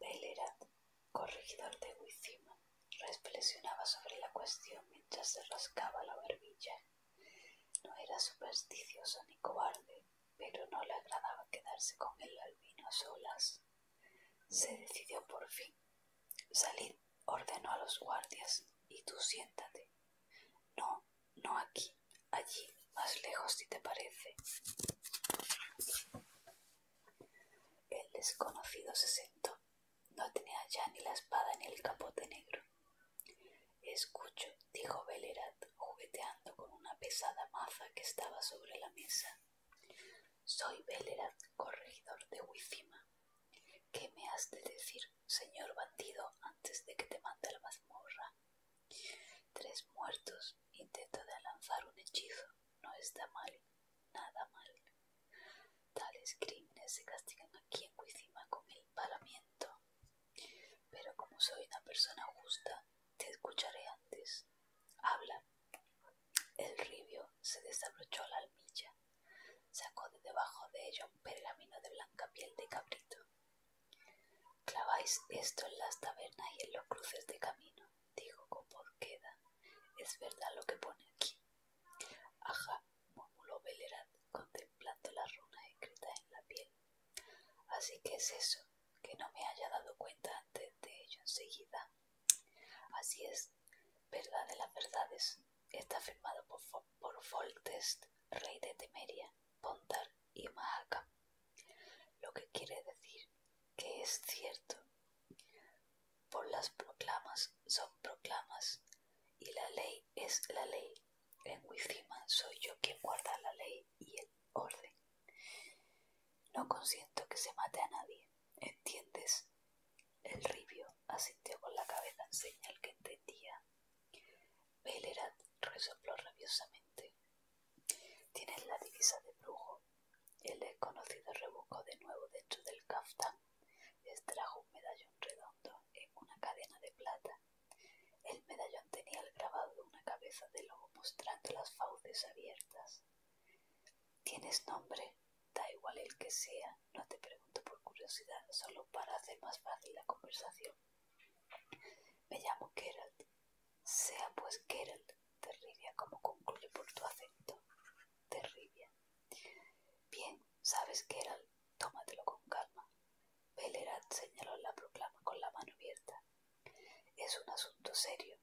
Bellerat, corregidor de Wizima, reflexionaba sobre la cuestión mientras se rascaba la barbilla. No era supersticioso ni cobarde, pero no le agradaba quedarse con el albino a solas. Se decidió por fin. Salid, ordenó a los guardias, y tú siéntate. No, no, aquí, allí, más lejos si te parece. El desconocido se sentó. No tenía ya ni la espada ni el capote negro. Escucho, dijo Belerat, jugueteando con una pesada maza que estaba sobre la mesa. Soy Belerat, corregidor de Wifima. ¿Qué me has de decir señor bandido, antes de que te mande a la mazmorra. Tres muertos, intento de lanzar un hechizo, no está mal, nada mal. Tales crímenes se castigan aquí en Cuicima con el palamiento. Pero como soy una persona justa, te escucharé antes. Habla. El ribio se desabrochó la almilla sacó de debajo de ella un pergamino de blanca piel de cabrito. Claváis esto en las tabernas y en los cruces de camino, dijo con queda Es verdad lo que pone aquí. Ajá, murmuró Belerat, contemplando la runa escritas en la piel. Así que es eso, que no me haya dado cuenta antes de ello enseguida. Así es, verdad de las verdades, Está firmado por, por rey de Temeria, Pontar y Mahaca, lo que quiere decir que es cierto. Por las proclamas son proclamas y la ley es la ley. En Wicima soy yo quien guarda la ley y el orden. No consiento que se mate a nadie, ¿entiendes? El ribio asintió con la cabeza en señal que entendía Bellerat resopló rabiosamente. Tienes la divisa de brujo. El desconocido rebuscó de nuevo dentro del caftán. Extrajo un medallón redondo en una cadena de plata. El medallón tenía el grabado de una cabeza de lobo mostrando las fauces abiertas. Tienes nombre, da igual el que sea, no te pregunto por curiosidad, solo para hacer más fácil la conversación. Me llamo Geralt. Sea pues Geralt Terribia, como concluye por tu acento. Terribia. Bien, sabes Geralt, tómatelo con calma. Bellerat señaló la proclama con la mano abierta. Es un asunto serio.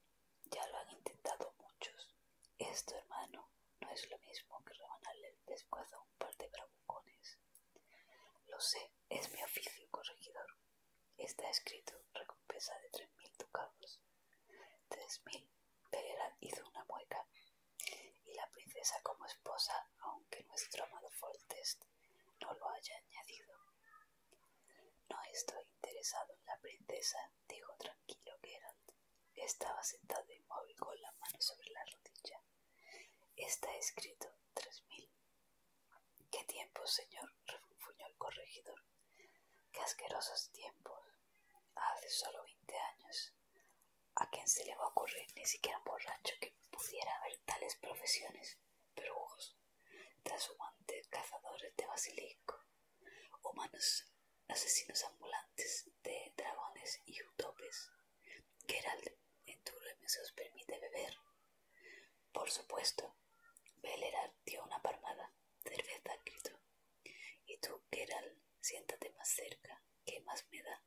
Ya lo han intentado muchos. Esto, hermano, no es lo mismo que rebanarle el pescuezo a un par de bravucones. Lo sé, es mi oficio, corregidor. Está escrito recompensa de tres mil ducados. Tres mil. hizo una mueca. Y la princesa como esposa, aunque nuestro amado Fortest no lo haya añadido. No estoy interesado en la princesa, dijo tranquilo Geralt. Estaba sentado inmóvil con la mano sobre la rodilla. Está escrito tres mil. ¿Qué tiempos, señor? refunfuñó el corregidor. ¡Qué asquerosos tiempos! Hace solo veinte años. ¿A quién se le va a ocurrir ni siquiera un borracho que pudiera haber tales profesiones? perugos, trashumantes, cazadores de basilico, humanos asesinos ambulantes de dragones y utopes, Gerald, ¿en tu os permite beber? Por supuesto. Bellerat dio una palmada. Cerveza, gritó. Y tú, Gerald, siéntate más cerca. que más me da?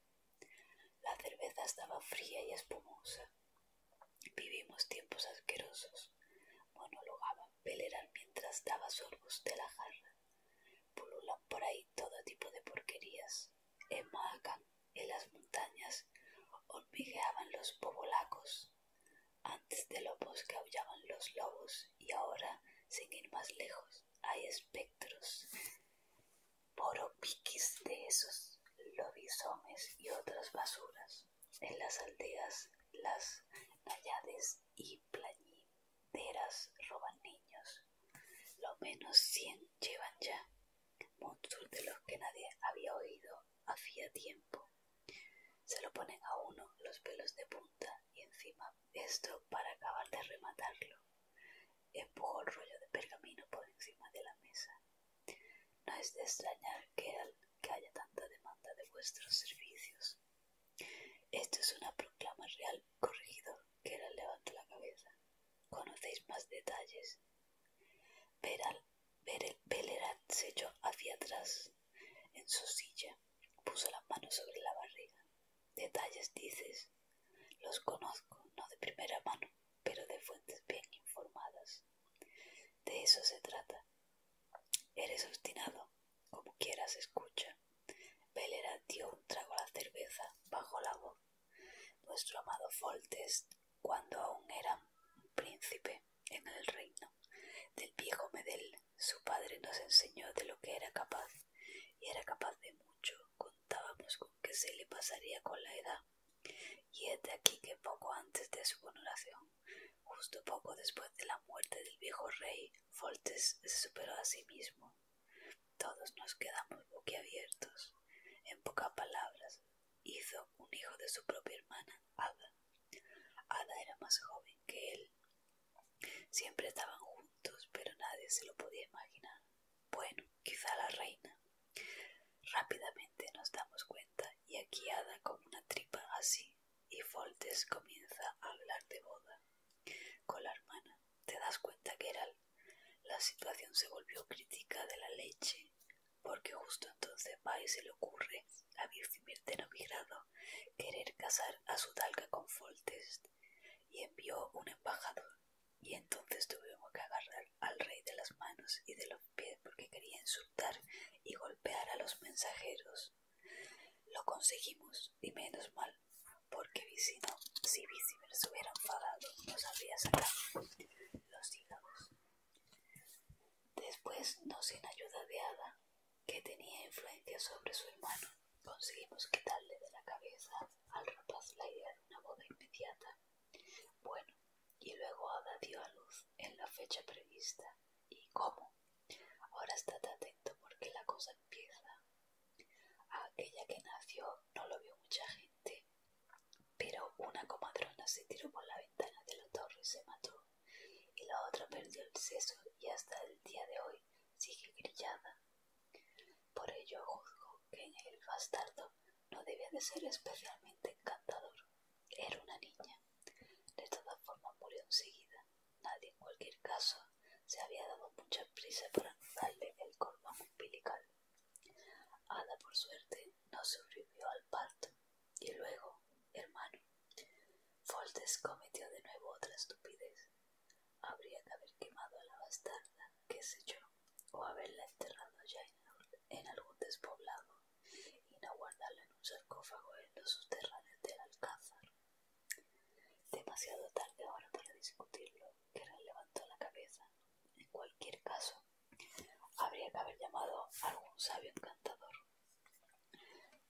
La cerveza estaba fría y espumosa. Vivimos tiempos asquerosos, monologaba Beleral mientras daba sorbos de la jarra. Pululan por ahí todo tipo de porquerías. En en las montañas, hormigueaban los pobolacos. Antes de lobos que aullaban los lobos y ahora, sin ir más lejos, hay espectros. Poropiquis de esos lobisomes y otras basuras. En las aldeas, las nayades y plañí roban niños. Lo menos cien llevan ya. Monstruos de los que nadie había oído hacía tiempo. Se lo ponen a uno los pelos de punta y encima esto para acabar de rematarlo. Empujó el rollo de pergamino por encima de la mesa. No es de extrañar que haya tanta demanda de vuestros servicios. Esto es una proclama real, corregido. Keral levantó la cabeza. ¿Conocéis más detalles? ver el pelerat se echó hacia atrás en su silla. Puso las manos sobre la barriga. ¿Detalles dices? Los conozco, no de primera mano, pero de fuentes bien informadas. De eso se trata. Eres obstinado, como se escucha. Velera dio un trago a la cerveza bajo la voz. Nuestro amado Foltest, cuando aún era un príncipe en el reino del viejo Medel, su padre nos enseñó de lo que era capaz, y era capaz de mucho. Contábamos con que se le pasaría con la edad. Y es de aquí que poco antes de su coronación, justo poco después de la muerte del viejo rey, Foltes se superó a sí mismo todos nos quedamos boquiabiertos. En pocas palabras, hizo un hijo de su propia hermana, Ada. Ada era más joven que él. Siempre estaban juntos, pero nadie se lo podía imaginar. Bueno, quizá la reina. Rápidamente nos damos cuenta y aquí Ada con una tripa así y Foltes comienza a hablar de boda. Con la hermana, ¿te das cuenta, que era La situación se volvió crítica de la leche, porque justo entonces Pai se le ocurre a Virgimir de Novigrado querer casar a su talca con Foltest, y envió un embajador, y entonces tuvimos que agarrar al rey de las manos y de los pies porque quería insultar y golpear a los mensajeros. Lo conseguimos, y menos mal, porque Vicino, si viceversa se hubiera enfadado, nos habría sacado los hígados. Después, no sin ayuda de Ada, que tenía influencia sobre su hermano, conseguimos quitarle de la cabeza al rapaz la idea de una boda inmediata. Bueno, y luego Ada dio a luz en la fecha prevista. ¿Y cómo? Ahora estate atento porque la cosa empieza. A aquella que nació no lo vio mucha gente, pero una comadrona se tiró por la ventana de la torre y se mató, y la otra perdió el seso y hasta el día de hoy sigue grillada. Por ello juzgo que en el bastardo no debía de ser especialmente encantador. Era una niña. De todas formas murió enseguida. Nadie, en cualquier caso, se había dado mucha prisa para anudarle el cordón umbilical. Ada, por suerte, no sobrevivió al parto. Y luego, hermano, Foltes cometió de nuevo otra estupidez. Habría que haber quemado a la bastarda, que sé yo, o haberla enterrado ya en, algún despoblado y no guardarla en un sarcófago en los subterráneos del alcázar. Demasiado tarde ahora para discutirlo, Gerald levantó la cabeza. En cualquier caso, habría que haber llamado a algún sabio encantador.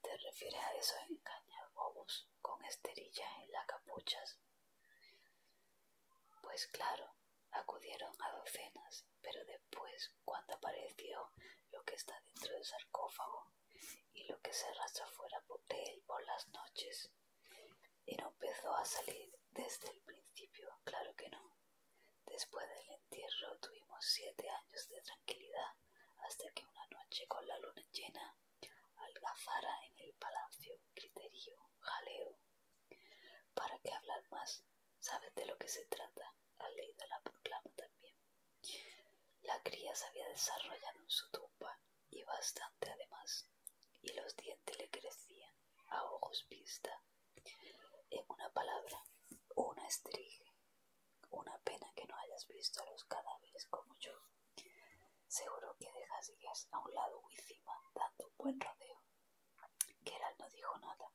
¿Te refieres a esos engañabobos con esterillas en las capuchas? Pues claro, acudieron a docenas, pero después, cuando apareció lo que está dentro del sarcófago, y lo que se arrastra fuera de él por las noches. Y no empezó a salir desde el principio, claro que no. Después del entierro tuvimos siete años de tranquilidad hasta que una noche con la luna llena algazara en el palacio criterio, jaleo. ¿Para qué hablar más? ¿Sabes de lo que se trata? ley leído la proclama también. La cría se había desarrollado en su tumba y bastante además, y los dientes le crecían a ojos vista. En una palabra, una estrige. Una pena que no hayas visto a los cadáveres como yo. Seguro que dejarías a un lado cima, dando un buen rodeo. Geralt no dijo nada.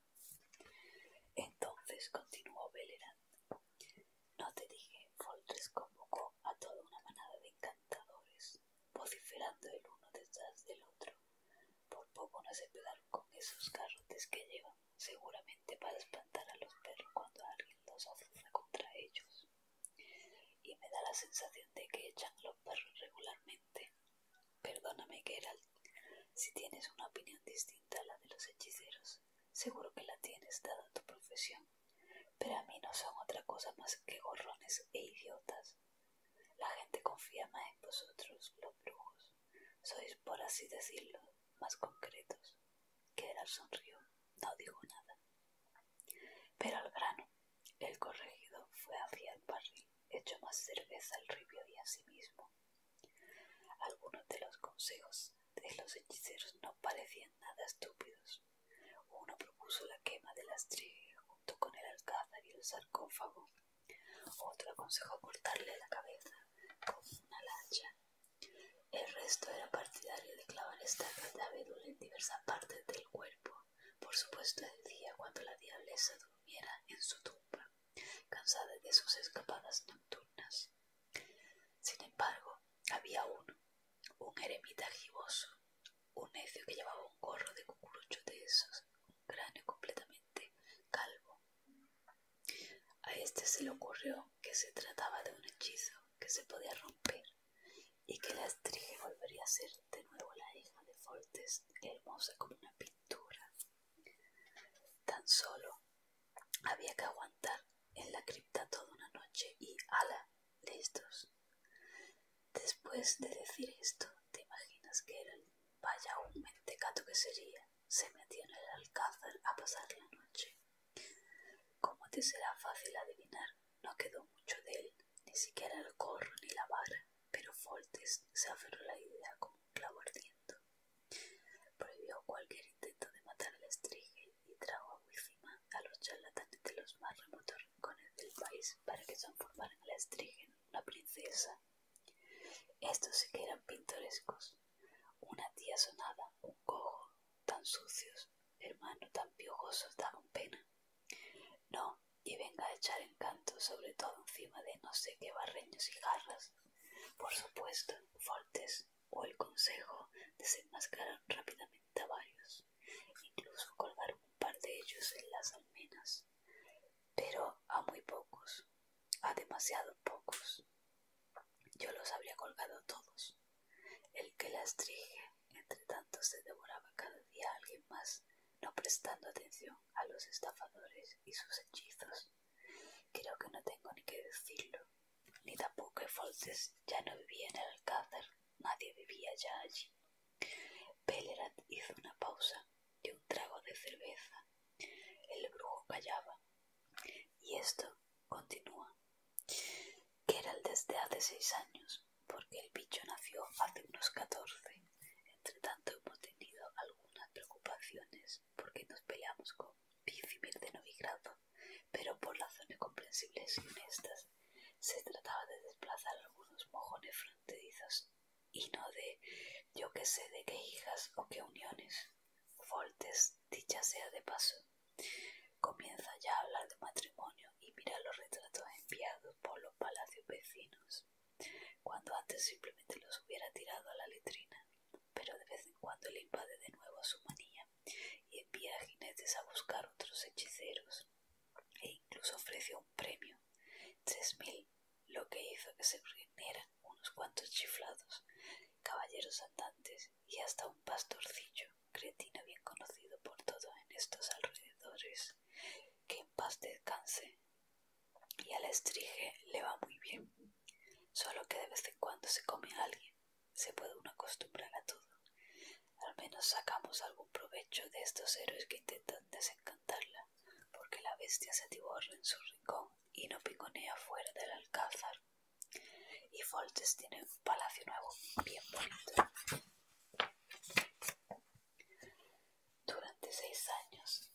Entonces continuó velerando. No te dije, Foltres convocó a toda una manada de encantadores, vociferando el uno detrás del otro. Por poco no se pegaron con esos garrotes que llevan, seguramente para espantar a los perros cuando alguien los azuzna contra ellos. Y me da la sensación de que echan a los perros regularmente. Perdóname, Gerald, si tienes una opinión distinta a la de los hechiceros, Seguro que la tienes, dada tu profesión. Pero a mí no son otra cosa más que gorrones e idiotas. La gente confía más en vosotros, los brujos. Sois, por así decirlo, más concretos. el sonrió. No dijo nada. Pero al grano, el corregido fue hacia el barril, echó más cerveza al ribio y a sí mismo. Algunos de los consejos de los hechiceros no parecían nada estúpidos. Uno propuso la quema de la junto con el alcázar y el sarcófago. Otro aconsejó cortarle la cabeza con una lancha. El resto era partidario de clavar esta abedul en diversas partes del cuerpo, por supuesto el día cuando la diablesa durmiera en su tumba, cansada de sus escapadas nocturnas. Sin embargo, había uno, un eremita giboso, un necio que llevaba un gorro de cucurucho de esos, un cráneo completamente calvo. A este se le ocurrió que se trataba de un hechizo que se podía romper y que la estrige volvería a ser de nuevo la hija de Fortes, hermosa como una pintura. Tan solo había que aguantar en la cripta toda una noche y ala, listos. Después de decir esto, te imaginas que era vaya un mentecato que sería. Se metió en el alcázar a pasar la noche. Como te será fácil adivinar, no quedó mucho de él, ni siquiera el corro ni la barra pero Foltes se aferró la idea como un clavo ardiendo. Prohibió cualquier intento de matar al estrige y trajo a Wicima a los charlatanes de los más remotos rincones del país para que transformaran a la estrige en una princesa. Estos sí que eran pintorescos. Una tía sonada, un cojo, tan sucios, hermano tan piojosos daban pena. No, y venga a echar encanto sobre todo encima de no sé qué barreños y garras. Por supuesto, Fortes o el Consejo desenmascararon rápidamente a varios, incluso colgaron un par de ellos en las almenas, pero a muy pocos, a demasiado pocos. Yo los habría colgado todos. El que las trige, entre tanto, se devoraba cada día a alguien más, no prestando atención a los estafadores y sus hechizos. Creo que no tengo ni que decirlo, ni tampoco que ya no vivía en el Alcázar, nadie vivía ya allí. Bellerat hizo una pausa de un trago de cerveza. El brujo callaba. Y esto continúa. el desde hace seis años, porque el bicho nació hace unos catorce. Entre tanto hemos tenido algunas preocupaciones porque nos peleamos con Dicimir de Novigrado, pero por razones comprensibles y honestas se trataba de desplazar algunos mojones fronterizos y no de yo que sé de qué hijas o qué uniones. Voltes, dicha sea de paso, comienza ya a hablar de matrimonio y mira los retratos enviados por los palacios vecinos, cuando antes simplemente los hubiera tirado a la letrina pero de vez en cuando le invade de nuevo su manía y envía a jinetes a buscar otros hechiceros e incluso ofrece un premio, tres mil, lo que hizo que se regeneran unos cuantos chiflados, caballeros andantes y hasta un pastorcillo, cretino bien conocido por todos en estos alrededores, que en paz descanse, y al estrige le va muy bien, solo que de vez en cuando se come a alguien, se puede uno acostumbrar a todo. Al menos sacamos algún provecho de estos héroes que intentan desencantarla, porque la bestia se atiborra en su rincón y no piconea fuera del alcázar. Y Foltes tiene un palacio nuevo, bien bonito. Durante seis años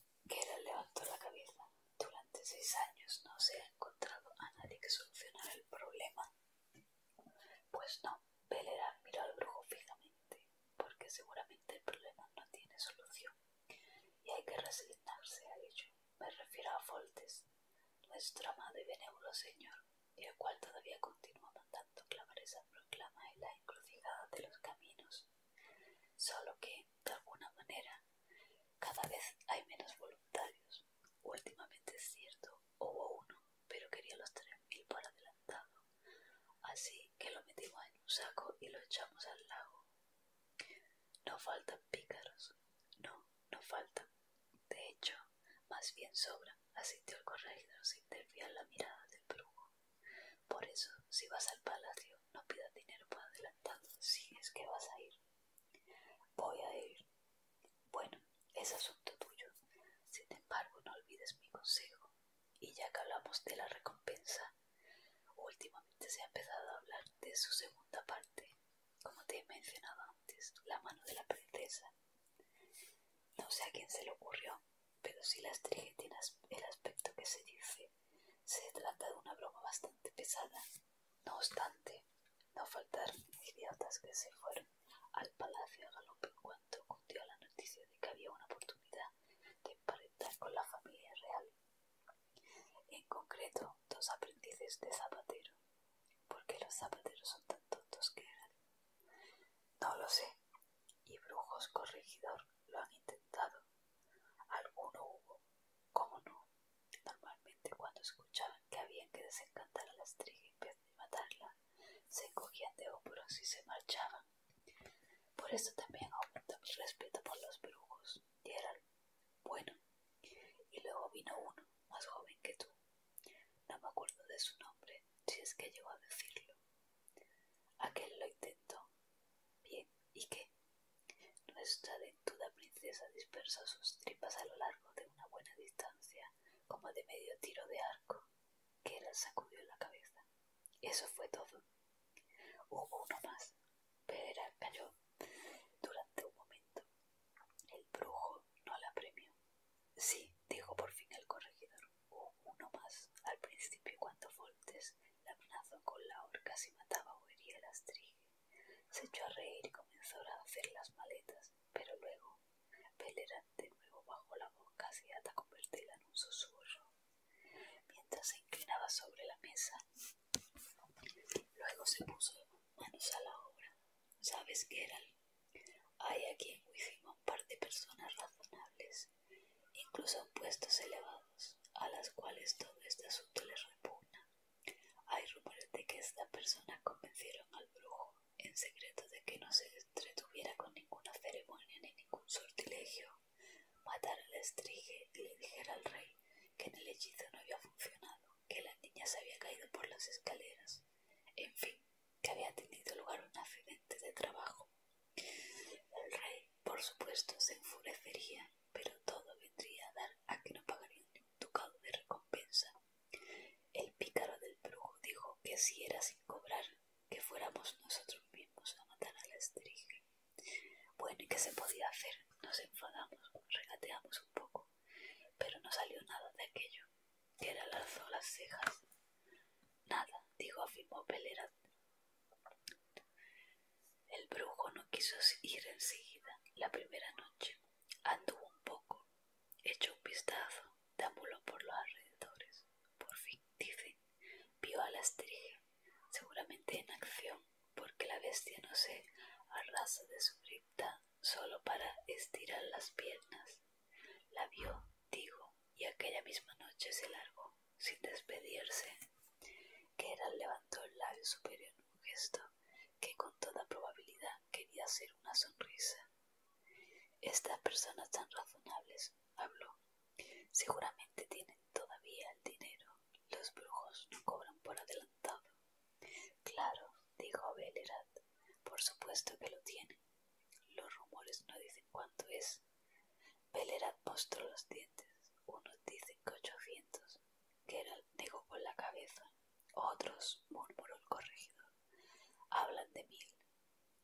ha levantó la cabeza. Durante seis años no se ha encontrado a nadie que solucionara el problema. Pues no, Belera miró al brujo fijamente, porque seguramente el problema no tiene solución. Y hay que resignarse a ello. Me refiero a Foltes, nuestro amado y benévolo señor, y el cual todavía continúa mandando clamores esa proclama en la encrucijada de los caminos. Solo que, de alguna manera, cada vez hay menos voluntarios. Últimamente es cierto, hubo uno, pero quería los 3.000 por adelantado. Así que lo metimos en un saco y lo echamos al lago. No faltan pícaros. No, no faltan. De hecho, más bien sobra, asistió el corregidor sin desviar la mirada del brujo. Por eso, si vas al palacio, no pidas dinero por adelantado si es que vas a ir. Voy a ir. Bueno, es asunto tuyo. Sin embargo, no olvides mi consejo. Y ya que hablamos de la recompensa, últimamente se ha empezado a hablar de su segunda parte, como te he mencionado antes, la mano de la princesa. No sé a quién se le ocurrió, pero si las estrige tiene el aspecto que se dice se trata de una broma bastante pesada. No obstante, no faltaron idiotas que se fueron al palacio a galope en cuanto la noticia de que había una oportunidad de emparentar con la familia real. En concreto, dos aprendices de zapatero. ¿Por qué los zapateros son tan tontos que eran? No lo sé. Y brujos corregidor lo han intentado, Alguno hubo, como no. Normalmente cuando escuchaban que habían que desencantar a la vez y matarla, se cogían de hombros y se marchaban. Por eso también aumentó el respeto por los brujos. Y eran bueno. Y luego vino uno, más joven que tú. No me acuerdo de su nombre, si es que llegó a decirlo. Aquel lo intentó. Bien, ¿y qué? Nuestra dentuda princesa dispersó sus tripas a lo largo de una buena distancia, como de medio tiro de arco. que la sacudió la cabeza. Eso fue todo. Hubo uno más. pero era cayó durante un momento. El brujo no la premió. Sí, dijo por fin el corregidor uno más. Al principio, cuando voltes la amenazó con la horca si mataba o hería el astrige, se echó a reír y comenzó a hacer las maletas, pero luego pelerante, de nuevo bajó la boca, casi hasta convertirla en un susurro. Mientras se inclinaba sobre la mesa, luego se puso manos a la obra. ¿Sabes, eran Hay aquí en un par de personas razonables incluso en puestos elevados, a las cuales todo este asunto les repugna. Hay rumores de que esta persona convencieron al brujo, en secreto, de que no se entretuviera con ninguna ceremonia ni ningún sortilegio, matara al estrige y le dijera al rey que en el hechizo no había funcionado, que la niña se había caído por las escaleras, en fin, que había tenido lugar un accidente de trabajo el rey, por supuesto, se enfurecería, pero todo vendría a dar a que no pagarían ni un ducado de recompensa. El pícaro del brujo dijo que si era sin cobrar, que fuéramos nosotros mismos a matar a la Bueno, ¿y qué se podía hacer? Nos enfadamos, regateamos un poco, pero no salió nada de aquello. Él alzó las cejas. Nada, dijo, afirmó Pelera el brujo no quiso ir enseguida la primera noche. Anduvo un poco, echó un vistazo, tambuló por los alrededores. Por fin, dicen, vio a la estrella, seguramente en acción, porque la bestia no se arrasa de su cripta solo para estirar las piernas. La vio, digo, y aquella misma noche se largó sin despedirse. Gerald levantó el labio superior en un gesto que con toda probabilidad quería hacer una sonrisa. Estas personas tan razonables, habló, seguramente tienen todavía el dinero. Los brujos no cobran por adelantado. Claro, dijo Belerat, por supuesto que lo tienen. Los rumores no dicen cuánto es. Pelera mostró los dientes. Unos dicen que ochocientos. el negó con la cabeza. Otros, murmuró el corregidor, hablan de mil.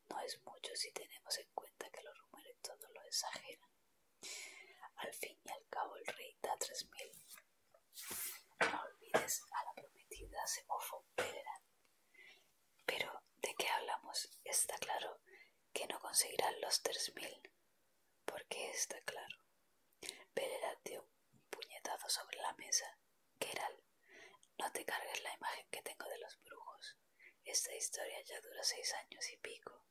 No es mucho si tenemos en cuenta que los rumores todos lo exageran. Al fin y al cabo el rey da tres mil. No olvides a la prometida, se mofó pero, ¿de qué hablamos? Está claro que no conseguirán los tres mil. Porque está claro. Pereira dio un puñetazo sobre la mesa. Keral, no te cargues la imagen que tengo de los brujos. Esta historia ya dura seis años y pico.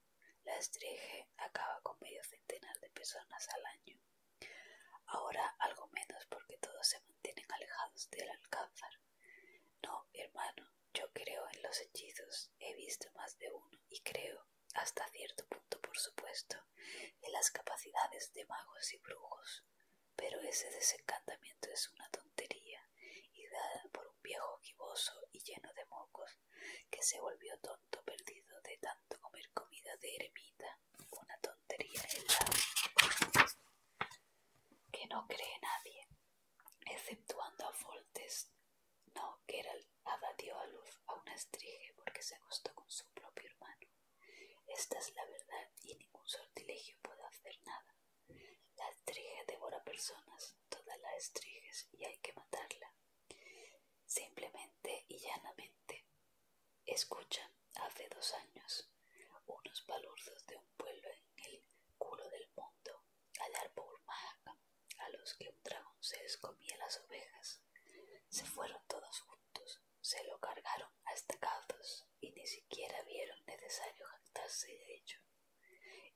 La estrella acaba con medio centenar de personas al año. Ahora algo menos porque todos se mantienen alejados del alcázar. No, hermano, yo creo en los hechizos, he visto más de uno y creo, hasta cierto punto por supuesto, en las capacidades de magos y brujos, pero ese desencantamiento es una tontería, dada por un viejo giboso y lleno de mocos, que se volvió tonto perdido de tanto comer comida de eremita, una tontería en que no cree nadie exceptuando a Foltest. No, Geralt abatió a luz a una estrige porque se acostó con su propio hermano. Esta es la verdad y ningún sortilegio puede hacer nada. La estrige devora personas, todas las estriges, y hay que matarla. Simplemente y llanamente. Escucha, hace dos años unos palurdos de un pueblo en el culo del mundo, al árbol mahaca, a los que un dragón se comía las ovejas. Se fueron todos juntos, se lo cargaron hasta caldos y ni siquiera vieron necesario juntarse de ello.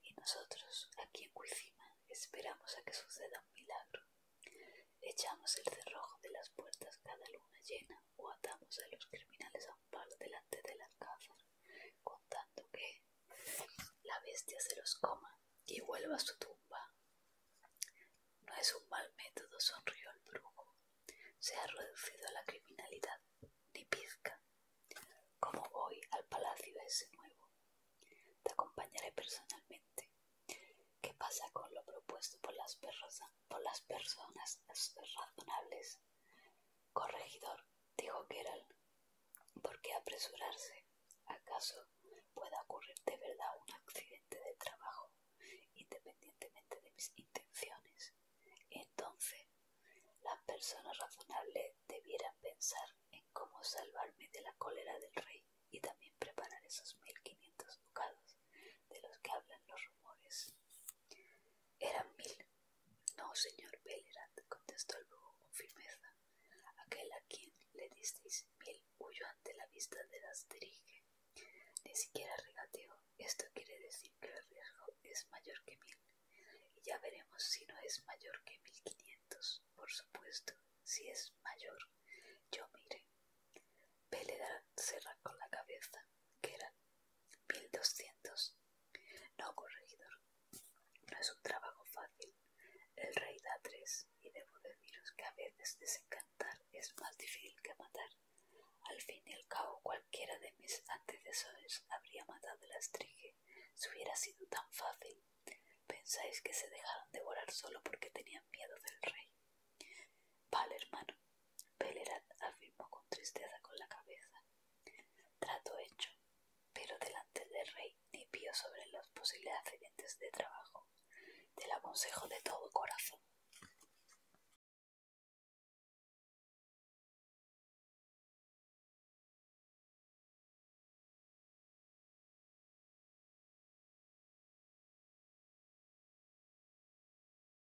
Y nosotros, aquí en Cuicima, esperamos a que suceda un milagro. Echamos el cerrojo de las puertas cada luna llena o atamos a los criminales a un palo delante de la casa, contando que la bestia se los coma y vuelva a su tumba. No es un mal método, sonrió el brujo. Se ha reducido a la criminalidad, ni pizca. ¿Cómo voy al palacio ese nuevo? Te acompañaré personalmente. ¿Qué pasa con lo propuesto por las personas razonables? Corregidor, dijo era ¿por qué apresurarse? ¿Acaso pueda ocurrir de verdad un accidente de trabajo, independientemente de mis intenciones? Entonces, las personas razonables debieran pensar en cómo salvarme de la cólera del rey y también preparar esos mil quinientos ducados de los que hablan los rumores. Eran mil. No, señor Bellerat, contestó el brujo con firmeza. Aquel a quien le disteis mil huyó ante la vista de las dirige. Ni siquiera regateó. Esto quiere decir que el riesgo es mayor que mil. Y ya veremos si no es mayor que mil quinientos. Por supuesto, si es mayor, yo mire. Bellerat se con la cabeza que eran 1200. No, corregidor, no es un trabajo fácil. El rey da tres, y debo deciros que a veces desencantar es más difícil que matar. Al fin y al cabo, cualquiera de mis antecesores habría matado la estrige si hubiera sido tan fácil. ¿Pensáis que se dejaron devorar solo porque tenían miedo del rey? Vale, hermano, afirmó con tristeza con la cabeza. Trato hecho, pero delante del rey ni vio sobre los posibles accidentes de trabajo. Te lo aconsejo de todo corazón.